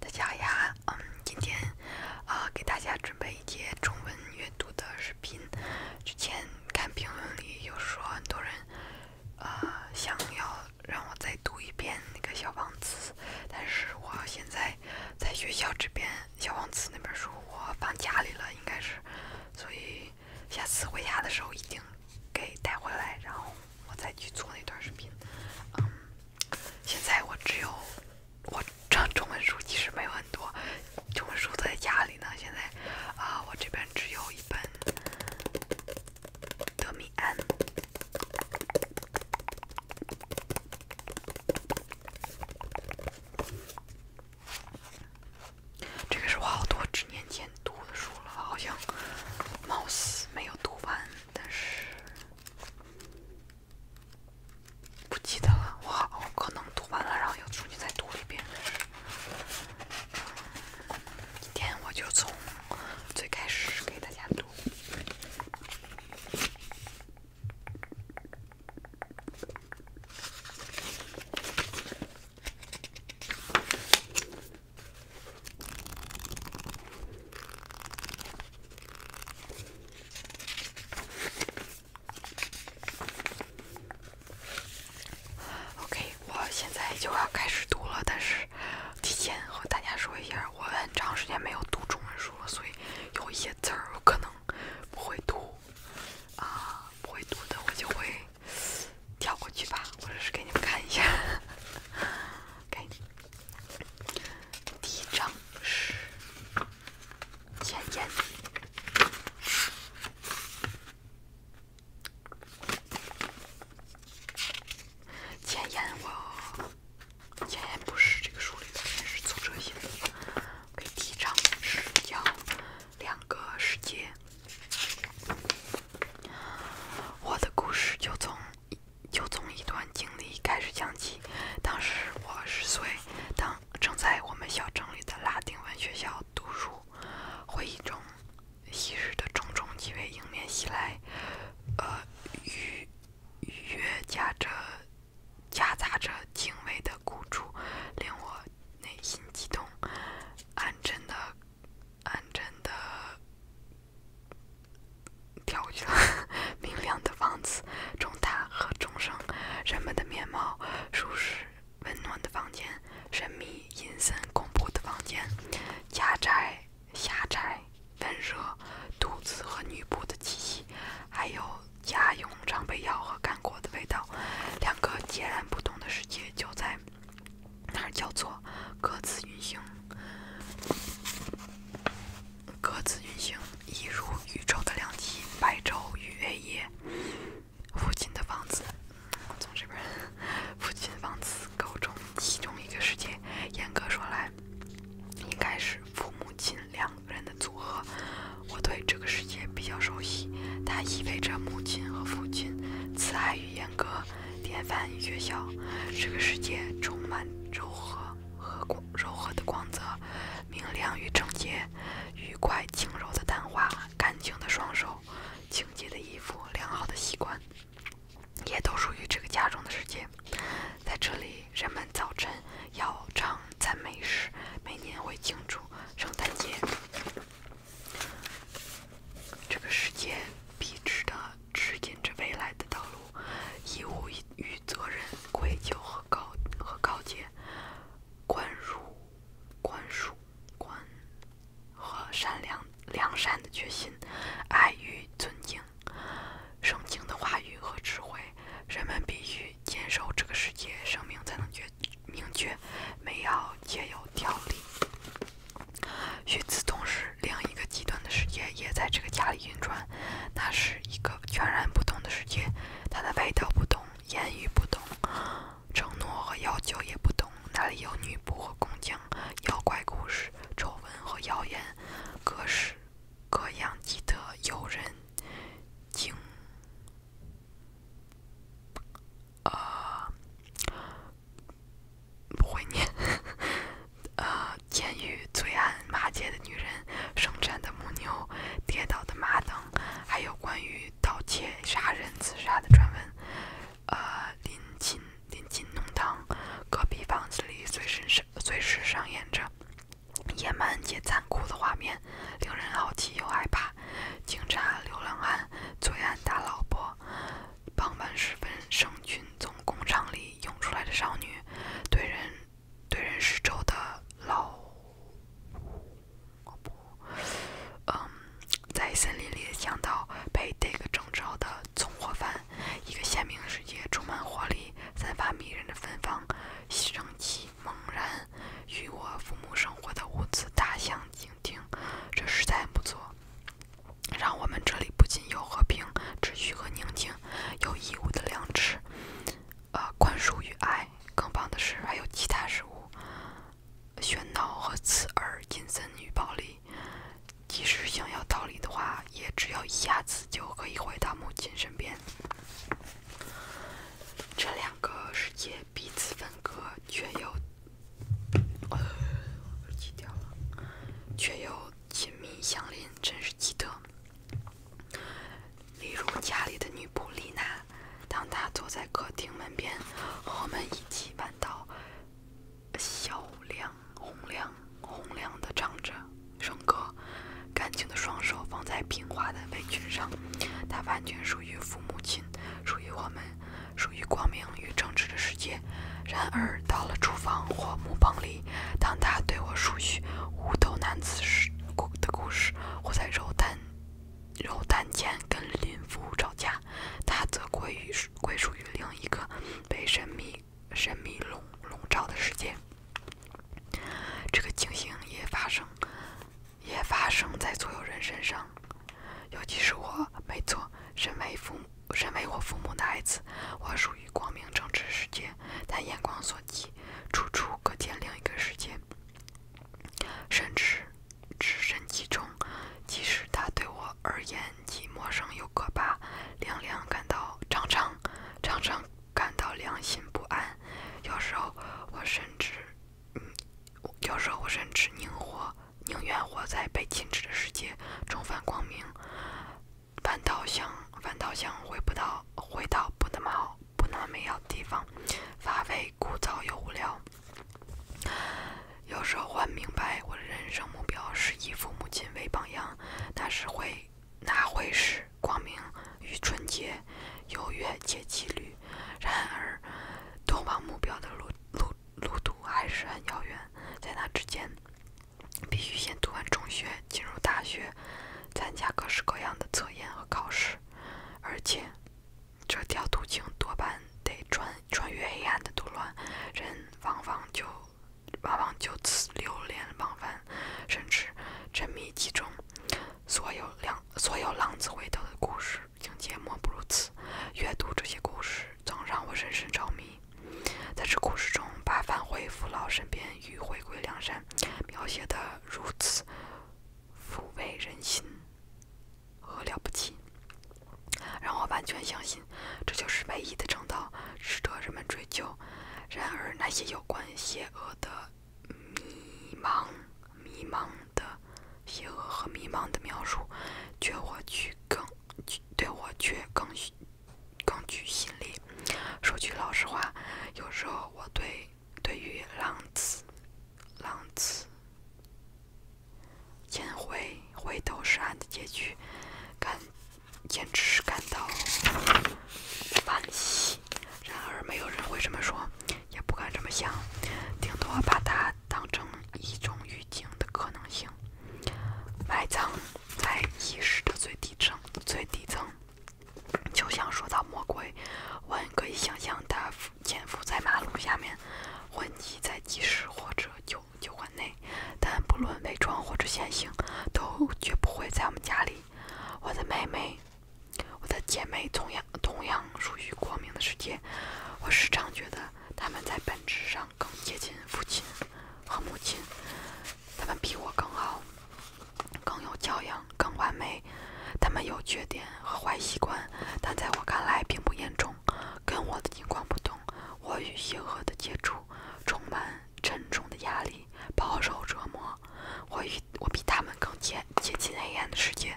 大家好呀，嗯，今天啊给大家准备一节中文阅读的视频。之前看评论里有说很多人啊想要让我再读一遍那个《小王子》，但是我现在在学校这边，《小王子》那本书我放家里了，应该是，所以下次回家的时候一定给带回来，然后我再去做那段视频，嗯。现在我只有我这中文书其实没有很多，中文书在家里呢。现在啊，我这边只有一本《德米安》，这个是我好多年前读的书了，好像貌似没有读完，但是。不记得了，我好可能读完了，然后又重新再读一遍。今天我就从最开始给大家读。OK，我现在就要开始读了。但是，提前和大家说一下，我很长时间没有读中文书了，所以有一些字儿可能不会读啊，不会读的我就会跳过去吧，或者是给你们看一下，给你。第一章是前言。前言，我前言不是这个书里面，是作者写的。第一章是讲两个世界，我的故事就从。就从一段经历开始讲起。当时我十岁，当正在我们小城里的拉丁文学校读书。回忆中昔日的种种气味迎面袭来，呃，愉雨悦夹着夹杂着轻微的孤楚，令我内心激动，安贞的。安真的跳调了。明亮的房子、中塔和钟声，人们的面貌、舒适温暖的房间、神秘阴森恐怖的房间，家宅狭窄、温热、兔子和女仆的气息，还有家用常备药和干果的味道，两个截然不同的世界就在。那叫做各自运行，各自运行，一如宇宙的两极，白昼与黑夜。父亲的房子，我从这边。父亲的房子构成其中一个世界。严格说来，应该是父母亲两个人的组合。我对这个世界比较熟悉，它意味着母亲和父亲，慈爱与严格。典范学校，这个世界充满柔和和光柔和的光泽，明亮与整洁，愉快轻柔的淡化，干净的双手，清洁的衣服，良好的习惯，也都属于这个家中的世界。在这里，人们早晨要唱赞美诗，每年会庆祝圣诞节。这个世界笔直的指引着未来的道路，义务与责任、愧疚和告和告诫、宽恕、宽恕、宽和善良良善的决心、爱与尊敬、圣经的话语和智慧。人们必须坚守这个世界，生命才能决明确，美好皆有条理。与此同时，另一个极端的世界也在这个家里运转。那是一个全然不同的世界，它的味道不同，言语不同，承诺和要求也不同。那里有女仆和工匠，妖怪故事、丑闻和谣言，各式各样记奇特诱人不会念。呃，监狱罪案，骂街的女人，生产的母牛，跌倒的马等，还有关于盗窃、杀人、自杀的传闻。呃，临近临近弄堂，隔壁房子里随时、随时上演着野蛮且残酷的画面，令人好奇又害怕。警察、流浪汉、罪案打老婆。傍晚时分，圣军从工厂里涌出来的少女，对人对人施咒的老不，嗯，在森林里想强盗被逮个正着的纵火犯，一个鲜明的世界，充满活力，散发迷人的芬芳，生气猛然与我父母生活的屋子大相径庭，这实在不错。让我们这里不仅有和平、秩序和宁静，有义务的良知，呃，宽恕与爱。更棒的是，还有其他事物：喧闹和刺耳、阴森与暴力。即使想要逃离的话，也只要一下子就可以回到母亲身边。这两个世界。彼此分割，却又呃，掉了，却又亲密相邻，真是奇特。例如家里的女仆丽娜，当她坐在客厅门边，和我们一起弯到小亮、洪亮、洪亮的唱着声歌，干净的双手放在平滑的围裙上，她完全属于父母亲，属于我们。属于光明与正直的世界，然而到了厨房或木棚里，当他对我述叙无头男子故的故事，或在肉摊肉摊前跟林妇吵架，他则归于归属于另一个被神秘神秘笼笼罩的世界。这个情形也发生，也发生在所有人身上。尤其是我，没错，身为父身为我父母的孩子，我属于光明正直世界，但眼光所及，处处可见另一个世界。甚至置身其中，即使他对我而言既陌生又可怕，凉凉感到常常常常感到良心不安。有时候我甚至，嗯，有时候我甚至宁活。宁愿活在被禁止的世界，重返光明，反倒想反倒想回不到回到不那么好不那么美好的地方，乏味、枯燥又无聊。有时候，我明白我的人生目标是以父母亲为榜样，那是会那会是光明与纯洁、优越且纪律。然而，通往目标的路。路路途还是很遥远，在那之间，必须先读完中学，进入大学，参加各式各样的测验和考试，而且这条途径多半得穿穿越黑暗的杜乱，人往往就往往就此流连忘返，甚至沉迷其中，所有浪所有浪子回头的故事。情节莫不如此。阅读这些故事，总让我深深着迷。在这故事中，把返回父老身边与回归梁山，描写的如此抚慰人心，和了不起？让我完全相信，这就是唯一的正道，值得人们追究。然而，那些有关邪恶的迷茫。迷茫的邪恶和迷茫的描述，却我却更，对对我却更更具吸引力。说句老实话，有时候我对对于浪子，浪子，千回回头是岸的结局，感简直是感到惋惜。然而没有人会这么说。也不敢这么想，顶多把它当成一种预警的可能性。埋藏在意识的最底层，最底层。就像说到魔鬼，我们可以想象它潜伏在马路下面，混迹在集市或者酒酒馆内，但不论伪装或者显形，都绝不会在我们家里。我的妹妹。我的姐妹同样同样属于光明的世界，我时常觉得她们在本质上更接近父亲和母亲，她们比我更好，更有教养，更完美。她们有缺点和坏习惯，但在我看来并不严重。跟我的情况不同，我与邪恶的接触充满沉重的压力，饱受折磨。我与我比他们更接接近黑暗的世界。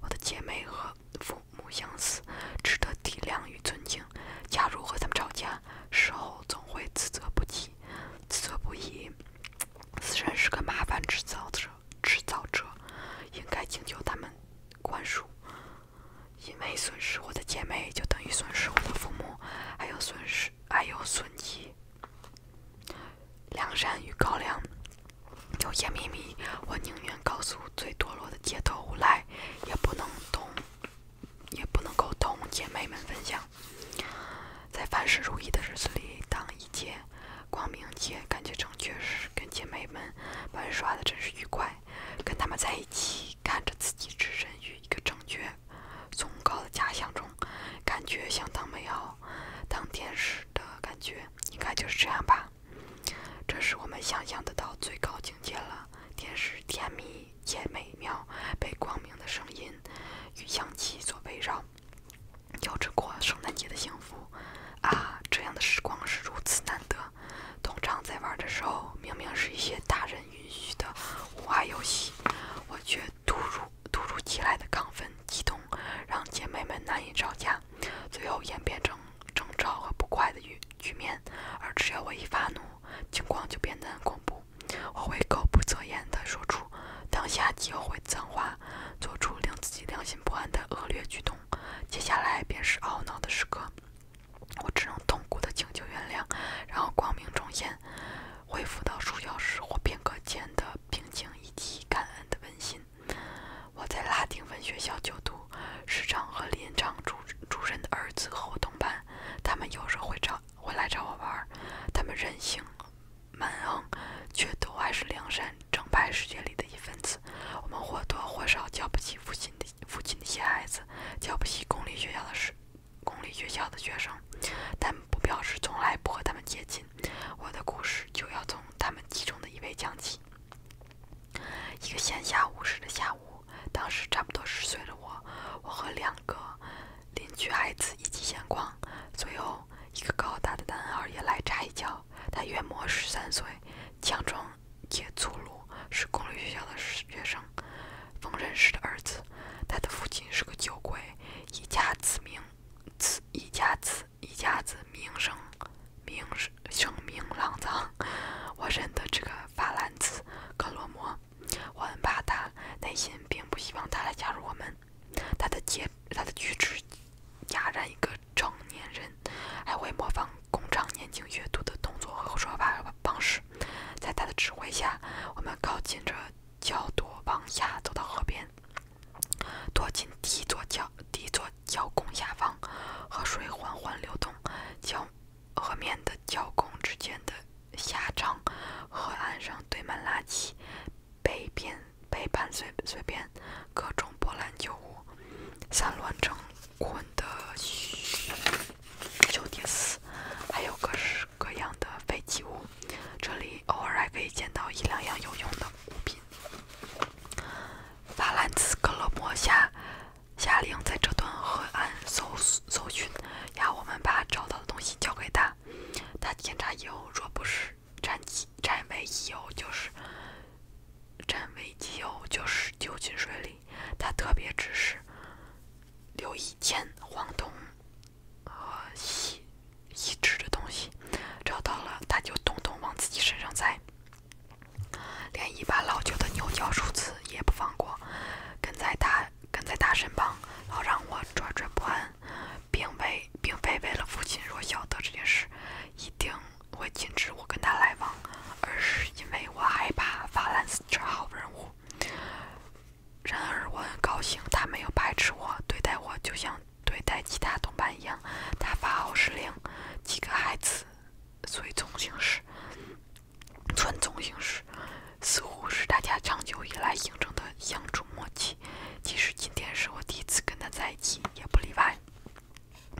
我的姐妹和父母相似，值得体谅与尊敬。假如和他们吵架，事后总会自责不已，自责不已。自身是个麻烦制造者，制造者应该请求他们宽恕，因为损失我的姐妹，就等于损失我的父母，还有损失，还有损及。梁山与高粱有些秘密，我宁愿告诉最堕落的街头无赖，也不能同，也不能够同姐妹们分享。在凡事如意的日子里，当一切光明且感觉正确时，跟姐妹们玩耍的真是愉快。跟她们在一起，看着自己置身于一个正确、崇高的假象中，感觉相当美好，当天使的感觉。应该就是这样吧，这是我们想象得到最高境界了。天使甜蜜且美妙，被光明的声音与香气所围绕，交织过圣诞节的幸福。啊，这样的时光是如此难得。通常在玩的时候，明明是一些大人允许的无爱游戏，我却突如突如其来的亢奋激动。让姐妹们难以招架，最后演变成争吵和不快的局局面。而只要我一发怒，情况就变得很恐怖。我会口不择言地说出当下就会脏话，做出令自己良心不安的恶劣举动。接下来便是懊恼的时刻，我只能痛苦地请求原谅，然后光明重现，恢复到睡觉时或片刻间的平静以及感恩的温馨。我在拉丁文学校就读，时常和连长主主任的儿子和我同班。他们有时候会找会来找我玩他们任性蛮横，却都还是梁山正派世界里的一份子。我们或多或少瞧不起父亲的父亲那些孩子，瞧不起公立学校的学公立学校的学生，但。不表示从来不和他们接近。我的故事就要从他们其中的一位讲起。一个闲暇无事的下午，当时差不多十岁的我，我和两个邻居孩子一起闲逛，随后一个高大的男孩也来插一脚。他约莫十三岁，强壮且粗鲁，是公立学校的学生，缝纫师的儿子。他的父亲是个酒鬼，一家子名子一家子。一家子名声，名声声名狼藉。我认得这个法兰兹·格罗莫，我很怕他，内心并不希望他来加入我们。他的结，他的举止哑然一个成年人，还会模仿工厂年轻学徒的动作和说话方式。在他的指挥下，我们靠近着角度往下走到河边。躲进一座桥一座桥拱下方，河水缓缓流动，桥河面的桥拱之间的狭长河岸上堆满垃圾，北边北畔随随便各种波兰旧物散乱成捆的旧叠丝，还有各式各样的废弃物。这里。偶尔还可以捡到一两样有用的物品。法兰兹·格勒莫下下令在这段河岸搜搜寻，要我们把找到的东西交给他。他检查以后，若不是占机占为己有，就是占为己有就是丢进水里。他特别指示留意铅、黄铜。和遗遗失的东西找到了，他就东东往自己身上塞，连一把老旧的牛角梳子也不放过，跟在他跟在他身旁，好让我惴惴不安。并非并非为了父亲弱小的这件事，一定会禁止我跟他来往，而是因为我害怕法兰斯这号人物。然而我很高兴，他没有排斥我，对待我就像对待其他同伴一样。他发号施令，几个孩子随从行事，遵从行事，似乎是大家长久以来形成的相处默契。即使今天是我第一次跟他在一起，也不例外。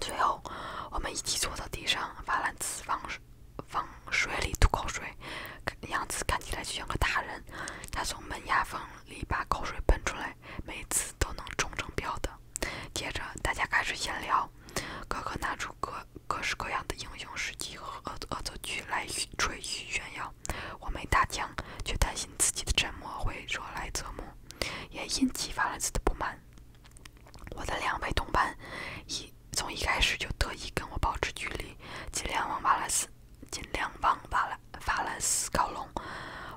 最后，我们一起坐到地上，法兰茨往水里吐口水。样子看起来就像个大人，他从门牙缝里把口水喷出来，每次都能中成标的。接着大家开始闲聊，哥哥拿出各各式各样的英雄事迹和恶恶作剧来吹嘘炫耀。我没大腔，却担心自己的沉默会惹来责目，也因激发了自己的不满。我的两位同伴，一从一开始就特意跟我保持距离，尽量往瓦拉斯。尽量帮法兰法兰斯靠拢，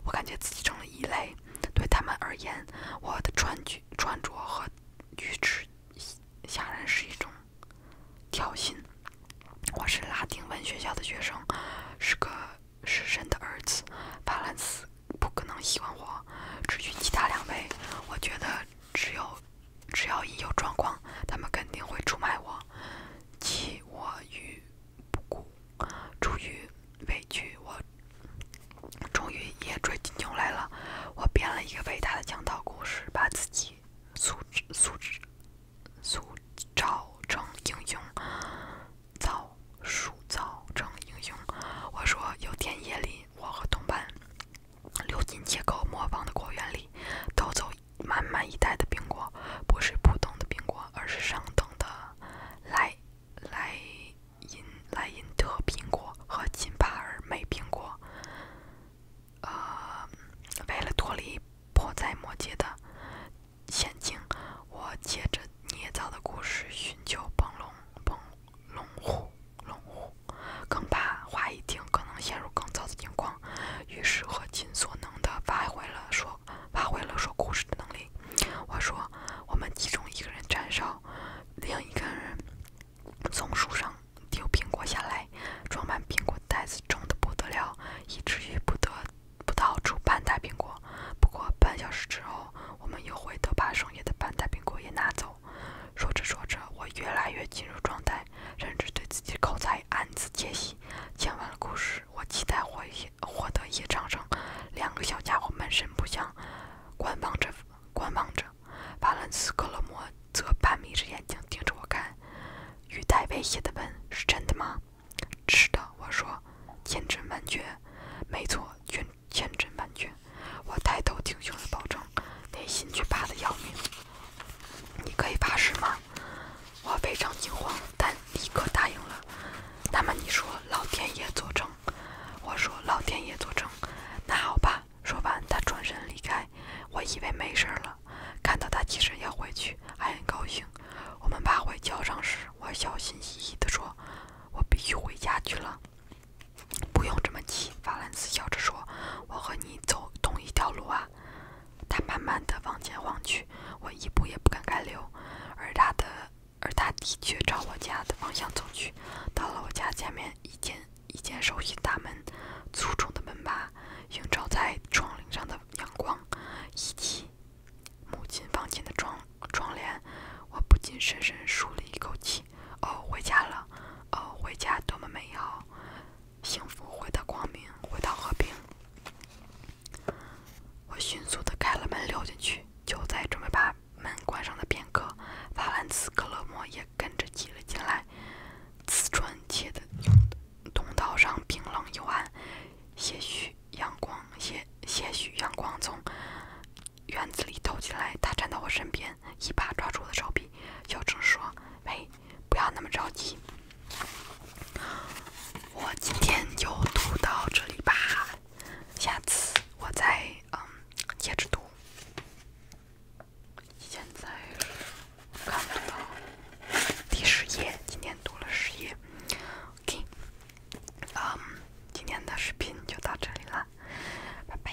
我感觉自己成了异类。对他们而言，我的穿装穿着和举止显然是一种挑衅。我是拉丁文学校的学生，是个失身的儿子。法兰斯不可能喜欢我，至于其他两位，我觉得只有只要一有状况，他们肯定会出卖我。弃我于不顾，出于委屈，我终于也追进牛来了。我编了一个伟大的讲道故事，把自己塑、塑、塑造成英雄，造、塑、造成英雄。我说，有天夜里，我和同伴溜进街口模仿的果园里，偷走。满满一袋的苹果，不是普通的苹果，而是上等的莱莱茵莱茵特苹果和金巴尔美苹果。呃，为了脱离迫在眉睫的险境，我借着捏造的故事寻求帮龙帮龙虎龙虎，更怕话一惊可能陷入更糟的情况。于是，我尽所能的发挥了说、发挥了说故事的能力。我说，我们其中一个人站哨，另一个人从树上丢苹果下来，装满苹果袋子重的不得了，以至于不得不到出半袋苹果。不过半小时之后，我们又回头把剩下的半袋苹果也拿走。说着说着，我越来越进入状态，甚至对自己口才。暗自窃喜。讲完了故事，我期待获一获得一场胜。两个小家伙满身不详，观望着，观望着。法兰斯克勒摩则半眯着眼睛盯着我看，语带威胁的问：“是真的吗？”“是的。”我说，“千真万确。”“没错，千千真万确。”我抬头挺胸的保证，内心却怕的要命。“你可以发誓吗？”我非常惊慌，但立刻答应了。那么你说老天爷作证，我说老天爷作证。那好吧。说完，他转身离开。我以为没事了，看到他起身要回去，还很高兴。我们爬回桥上时，我小心翼翼地说：“我必须回家去了。”不用这么急，法兰斯笑着说：“我和你走同一条路啊。”他慢慢的往前望去，我一步也不敢开溜，而他的而他的确朝我家的方向走去。到了我家前面，一间一间熟悉的门，粗重的门把，映照在窗棂上的阳光，以及母亲房间的窗窗帘，我不禁深深舒了一口气。哦，回家了！哦，回家，多么美好！幸福回到光明，回到和平。我迅速的开了门溜进去，就在准备把门关上的片刻，法兰兹·克勒莫也跟着挤了进来。瓷砖砌的通道上冰冷幽暗，些许阳光，些些许阳光从院子里透进来。他站到我身边，一把抓住我的手臂，小声说：“喂。”不要那么着急，我今天就读到这里吧，下次我再嗯接着读。现在看不到第十页，今天读了十页。OK，嗯，今天的视频就到这里了，拜拜。